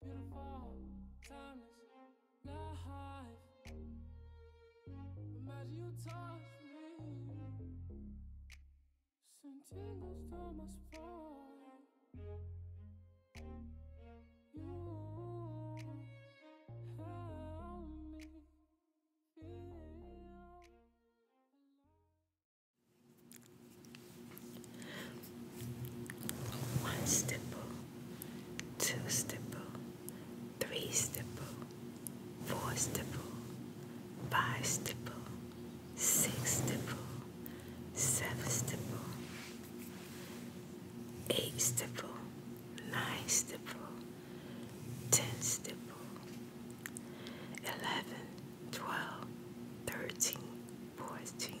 Beautiful, timeless, life. Imagine you touch me. Send tingles to my spine. You help me feel one stipple, two stipple, three stipple, four stipple, five stipple, six stipple, seven stipple, eight stipple, nine stipple, ten stipple, eleven, twelve, thirteen, fourteen.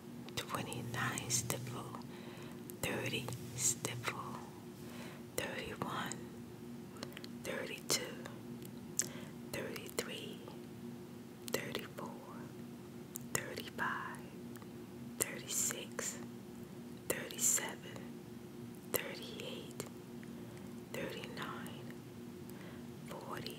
29 30 31 32 33 34 35 36 37 38 39 40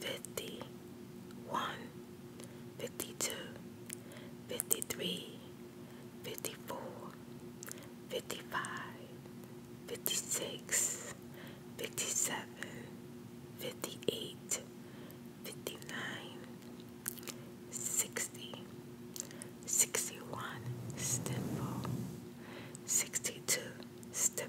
fifty one, fifty two, fifty three, fifty four, fifty five, fifty six, fifty seven, fifty eight, fifty nine, sixty, sixty one, stipple, sixty two, stipple.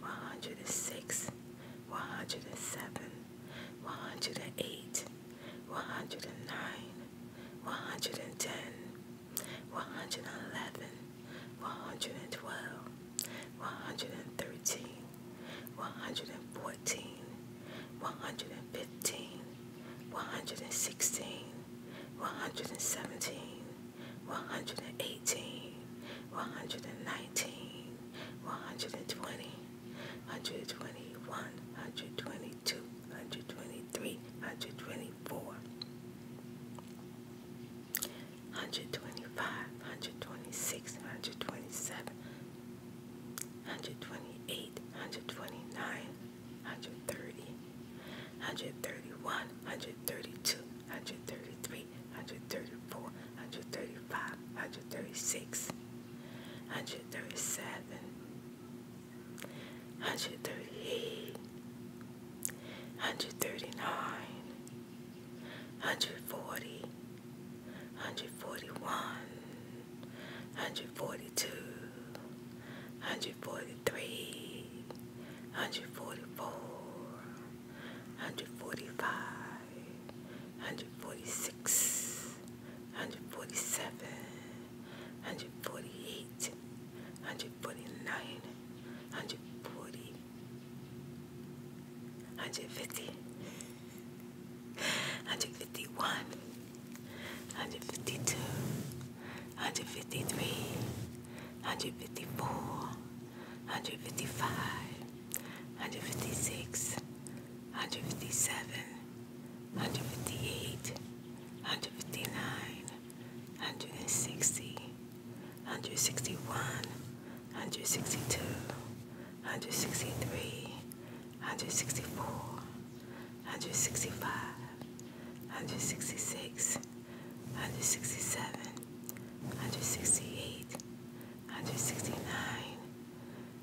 one hundred and six, one hundred and seven, one hundred and eight, one hundred and nine, one hundred and ten, one hundred and eleven, one hundred and twelve, one hundred and thirteen, one hundred and fourteen, one hundred and fifteen, one hundred and sixteen, one hundred and seventeen, one hundred and eighteen, one hundred and nineteen. 120, 121, 122, 123, 124, 125, 126, 127, 128, 129, 130, 131, 132, 133, 134, 135, 136, 137, 138, 139, 140, 141, 142, 143, 144, 145, 146, 147, 148, 149, 150, 151, 152, 153, 154, 155, 156, 157, 158, 159, 160, 161, 162, 163, 164, 165, 166, 167, 168, 169,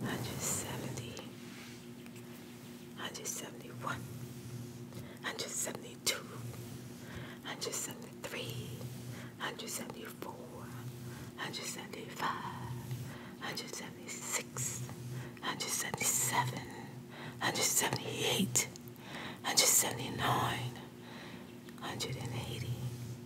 170, 171, 172, 173, 174, 175, 176, 177, 178, 179, 180,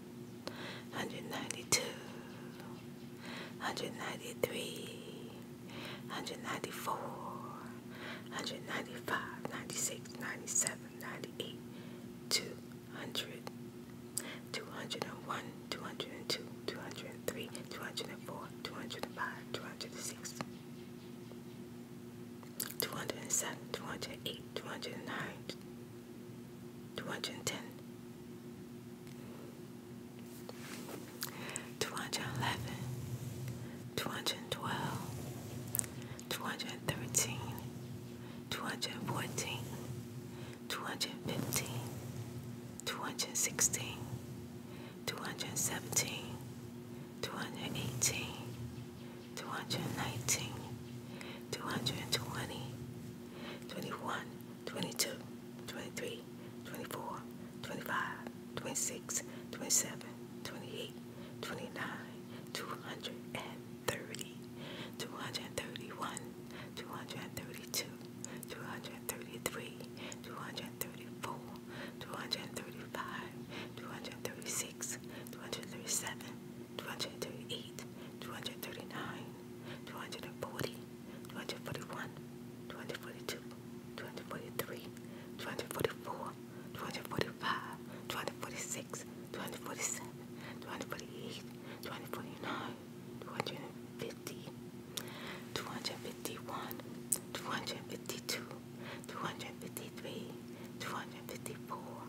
192 193 194 195 96 97 98 200 201 202 203 204 205 206 207 208 209 Two hundred ten. Two hundred eleven. Two hundred twelve. Two hundred thirteen. Two hundred fourteen. Two hundred fifteen. Two hundred sixteen. Two hundred seventeen. Two hundred eighteen. 219, 220, 21, 22, 23, 24, 25, 26, 27, 28, 29, 230, 231, 232, 233, 234, 235, 236, 236, 237, 238, 239, 240, 241, 242, 243, 244, 245, 246, 247, 248, 249, 250, 251, 252, 253, 254,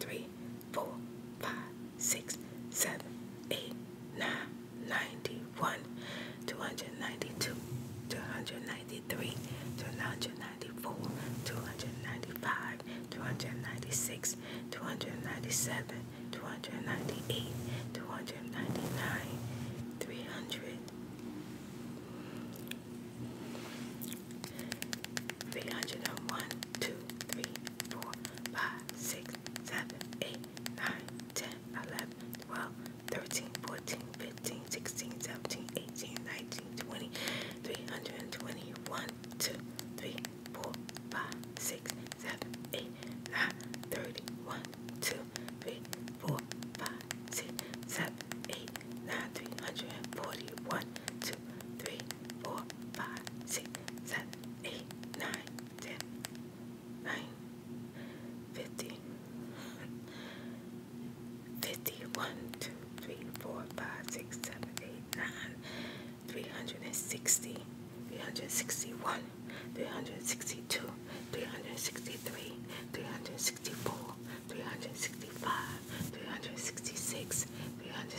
three, four, five, six, seven, eight, nine, ninety-one, two hundred ninety-two, two hundred ninety-three, two hundred ninety-four, two hundred ninety-five, two hundred ninety-six, two hundred ninety-seven, two hundred ninety-eight, two hundred ninety-nine, three hundred three hundred and one, two, three, four, five, six, seven, eight, nine, ten, eleven, twelve, thirteen, fourteen, fifteen, sixteen, seventeen, eighteen, nineteen, twenty, three hundred and twenty one, two, three, four, five, six, seven, eight, nine, thirty one, two, three, four, five, six, seven, eight, nine, three hundred and forty one, two two, three, four, five, six, seven, eight, nine, ten, nine, fifty, fifty, one, two, three, four, five, six, seven, eight, nine, three hundred and sixty, three hundred and sixty one, three hundred and sixty two, three hundred and sixty three, three hundred and sixty four, three hundred and sixty five, three hundred and sixty six, three hundred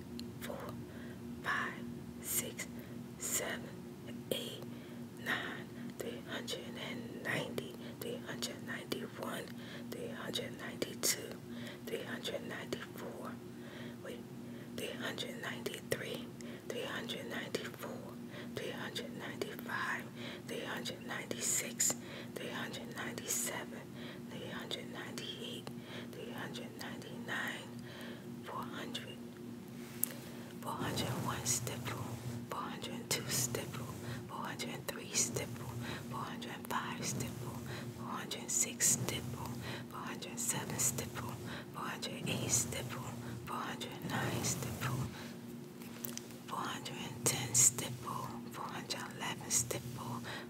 four, five, six, seven, eight, nine, three hundred and ninety, three hundred and ninety-one, three hundred and ninety-two, three hundred and ninety-four, wait, three hundred and ninety-three, three hundred and ninety-four, three hundred and ninety-five, three hundred and ninety-six, three hundred and ninety-seven, three hundred and ninety-eight three hundred ninety nine, four hundred, four hundred one stipple, four hundred two stipple, four hundred three stipple, four hundred five stipple, four hundred six stipple, four hundred seven stipple, four hundred eight stipple, four hundred nine stipple, four hundred and ten stipple, four hundred eleven stipple,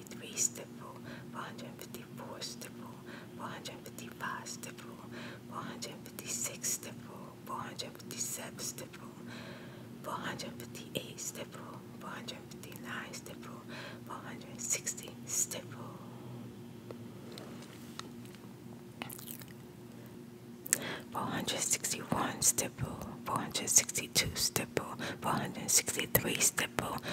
453 stipple, 454 stipple, 455 stipple, 456 stipple, 457 stipple, 458 stipple, 459 stipple, 460 stipple. Four hundred sixty one stipple, four hundred sixty two stipple, four hundred sixty three stipple,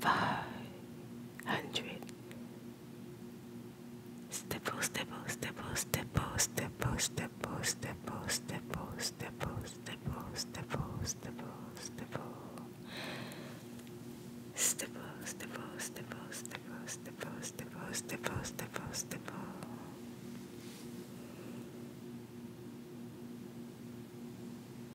five hundred. Stipple, stipple, stipple, stipple, stipple, stipple, stipple, stipple, stipple, stipple, stipple, stipple, stipple. Stipple, stipple, stipple, stipple, stipple, stipple, stipple, stipple, stipple.